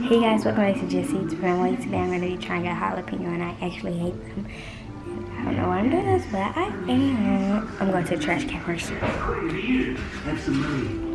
Hey guys, welcome back to Jesse's Family. Today I'm going to be trying out jalapeno and I actually hate them. I don't know why I'm doing this, but I am. I'm going to the trash can first. some money.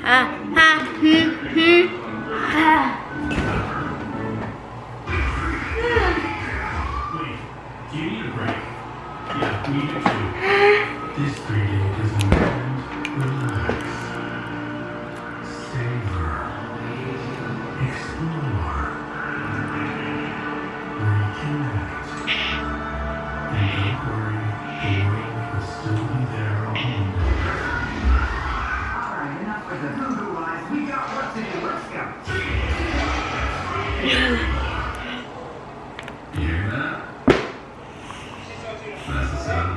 ha, ha, hmm, hmm, ha. you need a break? Yeah, we too. This three day is important. Relax. Savor. Explore. Reconnect. And do absolutely We got work to do. Let's go. you hear that?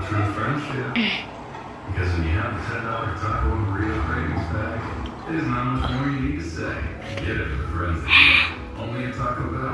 true friendship. because when you have a ten dollar taco and real cravings bag, there's not much more you need to say. Get it friends. Only a Taco Bell.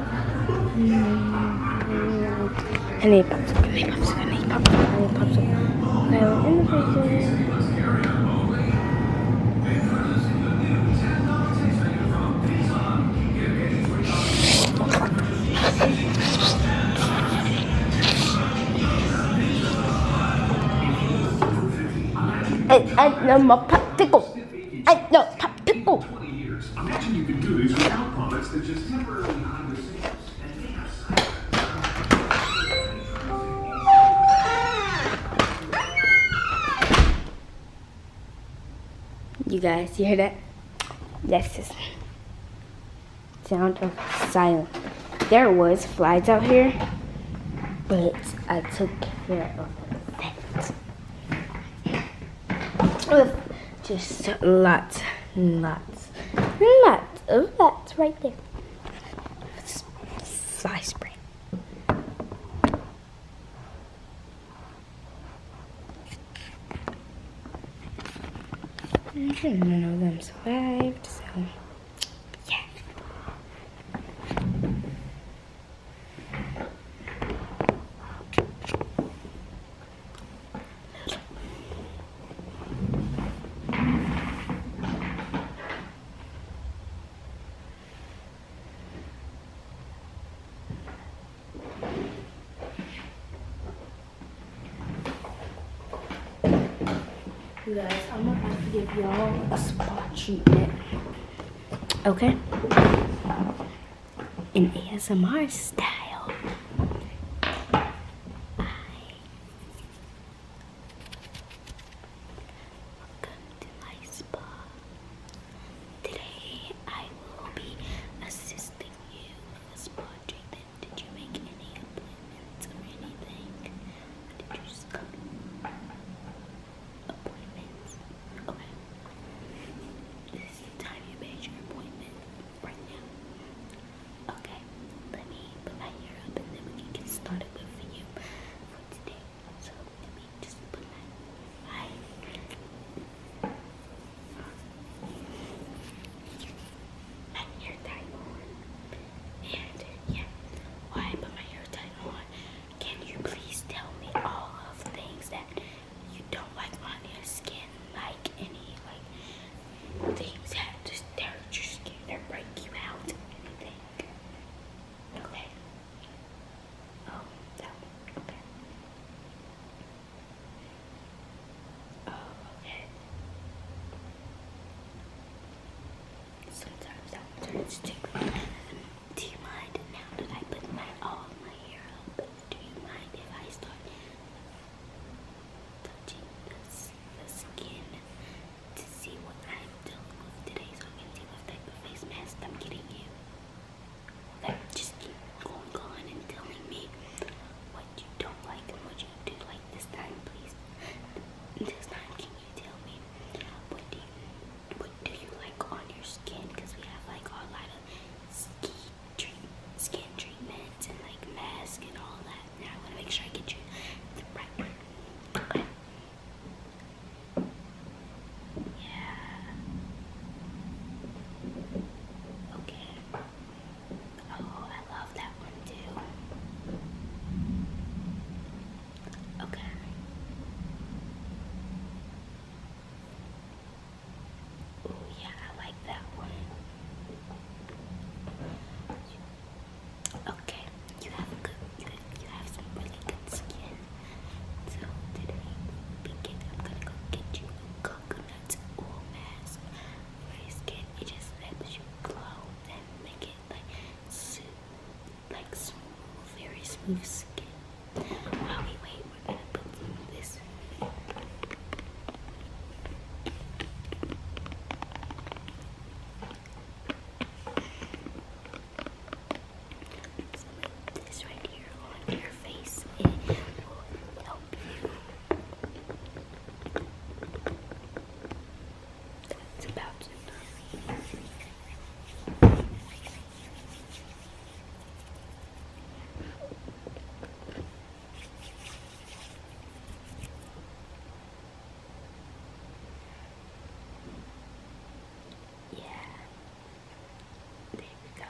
I need popsicle, I need popsicle, I need popsicle, I need popsicle. Okay, we're in the freezer. I, I know my popsicle. I know popsicle hot pickle. Imagine you could do these without products that just temporarily hide the You guys, you hear that? Yes, it's sound of silence. There was flies out here, but I took care of that just lots, lots, lots of nuts right there. Slice bread. I did them survived, so yeah guys, I'm gonna have to give y'all a spot treatment. Okay? In ASMR style. Welcome to my spa. Today I will be assisting you with spa treatment. Did you make any appointments or anything? did you just appointments. Okay. This is the time you made your appointment right now. Okay, let me put my hair up and then we can get started with you for today. So let me just put my hair tie on. And yeah, why I put my hair tie on can you please tell me all of things that you don't like on your skin? Like any like things that just tear at your skin or break you out, anything. Okay. Oh, that one. Okay. Oh, okay. Sometimes that one turns to do you mind now that I put my all my hair up? Do you mind if I start touching the, skin to see what I'm dealing with today so I can see what type of face mask I'm getting you? Okay, just keep going on and telling me what you don't like and what you do like this time, please. This time, can you tell me what what do you like on your skin? Because we have like a lot of skin treatments and like masks and all that. Now I want to make sure I get you right Yeah. Okay. Oh, I love that one too. Okay. Oh yeah, I like that one. Okay, you have good, you have, some really good skin. So today, begin. I'm gonna go get you a coconut oil mask your skin. It just helps you glow and make it like super like smooth, very smooth skin. While we wait, we're gonna put this. So this right here on your face, it will help you. That's about enough. Yeah, there we go.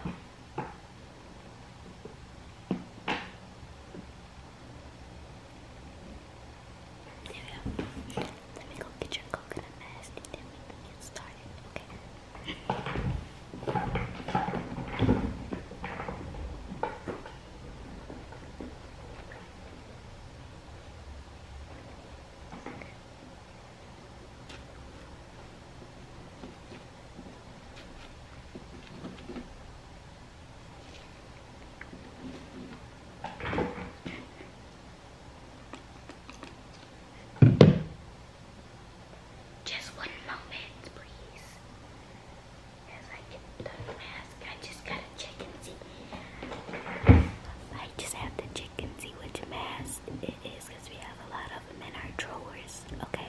There we go. Let me go get your coconut mask and then we can get started, okay? Just one moment, please. As I get the mask, I just gotta check and see. I just have to check and see which mask it is we have a lot of them in our drawers. Okay.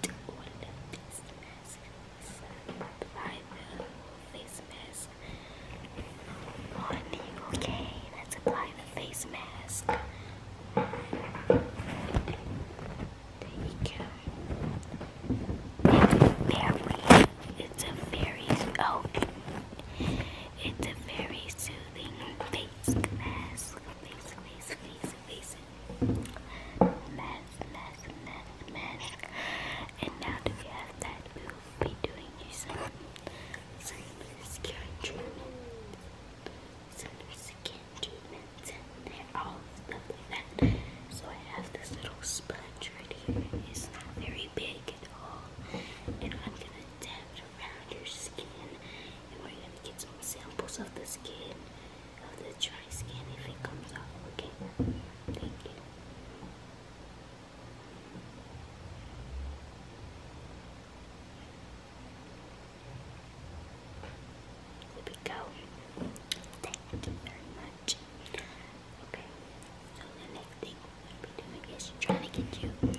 to the face mask. apply the face mask on you, okay? let apply the face mask. There you go. It's very, it's a very, oh, it's a very soothing face mask. Face, face, face, face, mask, mask, mask, mask. And now that we have that, we will be doing some skin treatment. Solar skin treatments, and they're all stuff So I have this little sponge right here. It's not very big at all, and I'm gonna dab it around your skin and we're gonna get some samples of the skin, of the dry skin if it comes off, okay? Thank you. There we go. Thank you very much. Okay, so the next thing we're be doing is trying to get you tingle,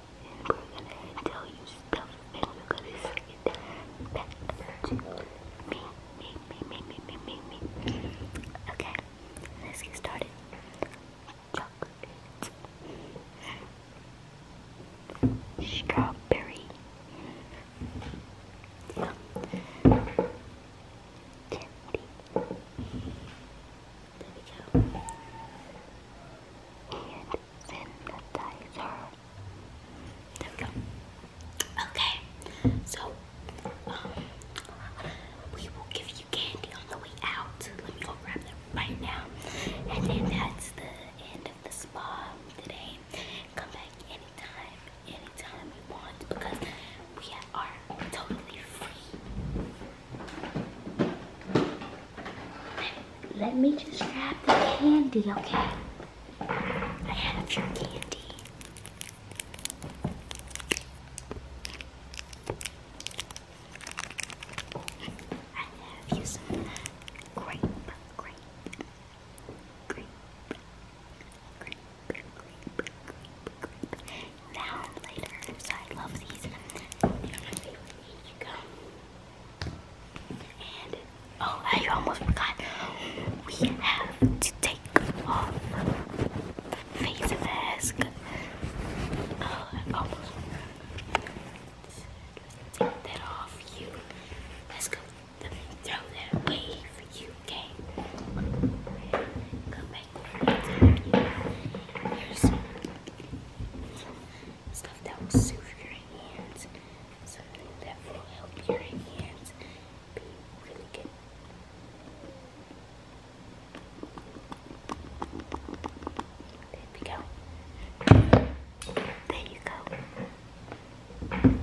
I'm gonna tell you stuff and are gonna say it back to me, me, me, me, me, me, me, me. Okay, let's get started. Chocolate. Strawberry. Candy. There we go. Okay, so um, we will give you candy on the way out. Let me go grab them right now. And then that's the end of the spa today. Come back anytime, anytime you want because we have. Let me just grab the candy, okay? I have your candy. I have you grape, grape, grape, grape, grape, grape, grape now you almost forgot. We have to take off the face mask. Oh, uh, I almost forgot. Take that off you. Let's go. Let me throw that away for you, okay? Come back like there's some stuff that will soothe your hands, something that will help your hands be really good. There we go. There you go.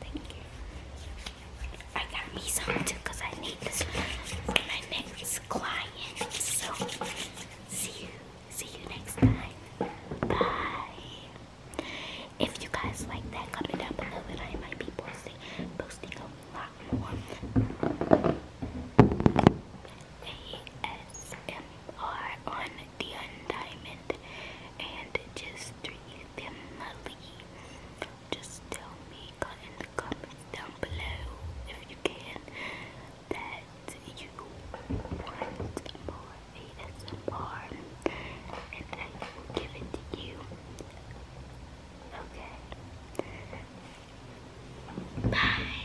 Thank you. I got me some too I need this for my next client. So see you. See you next time. Bye. If you guys like that, comment down below and I might be posting posting a lot more ASMR on Dion Diamond and just treat them just tell me in the comments down below if you can that you want more ASMR and I will give it to you. Okay. Bye.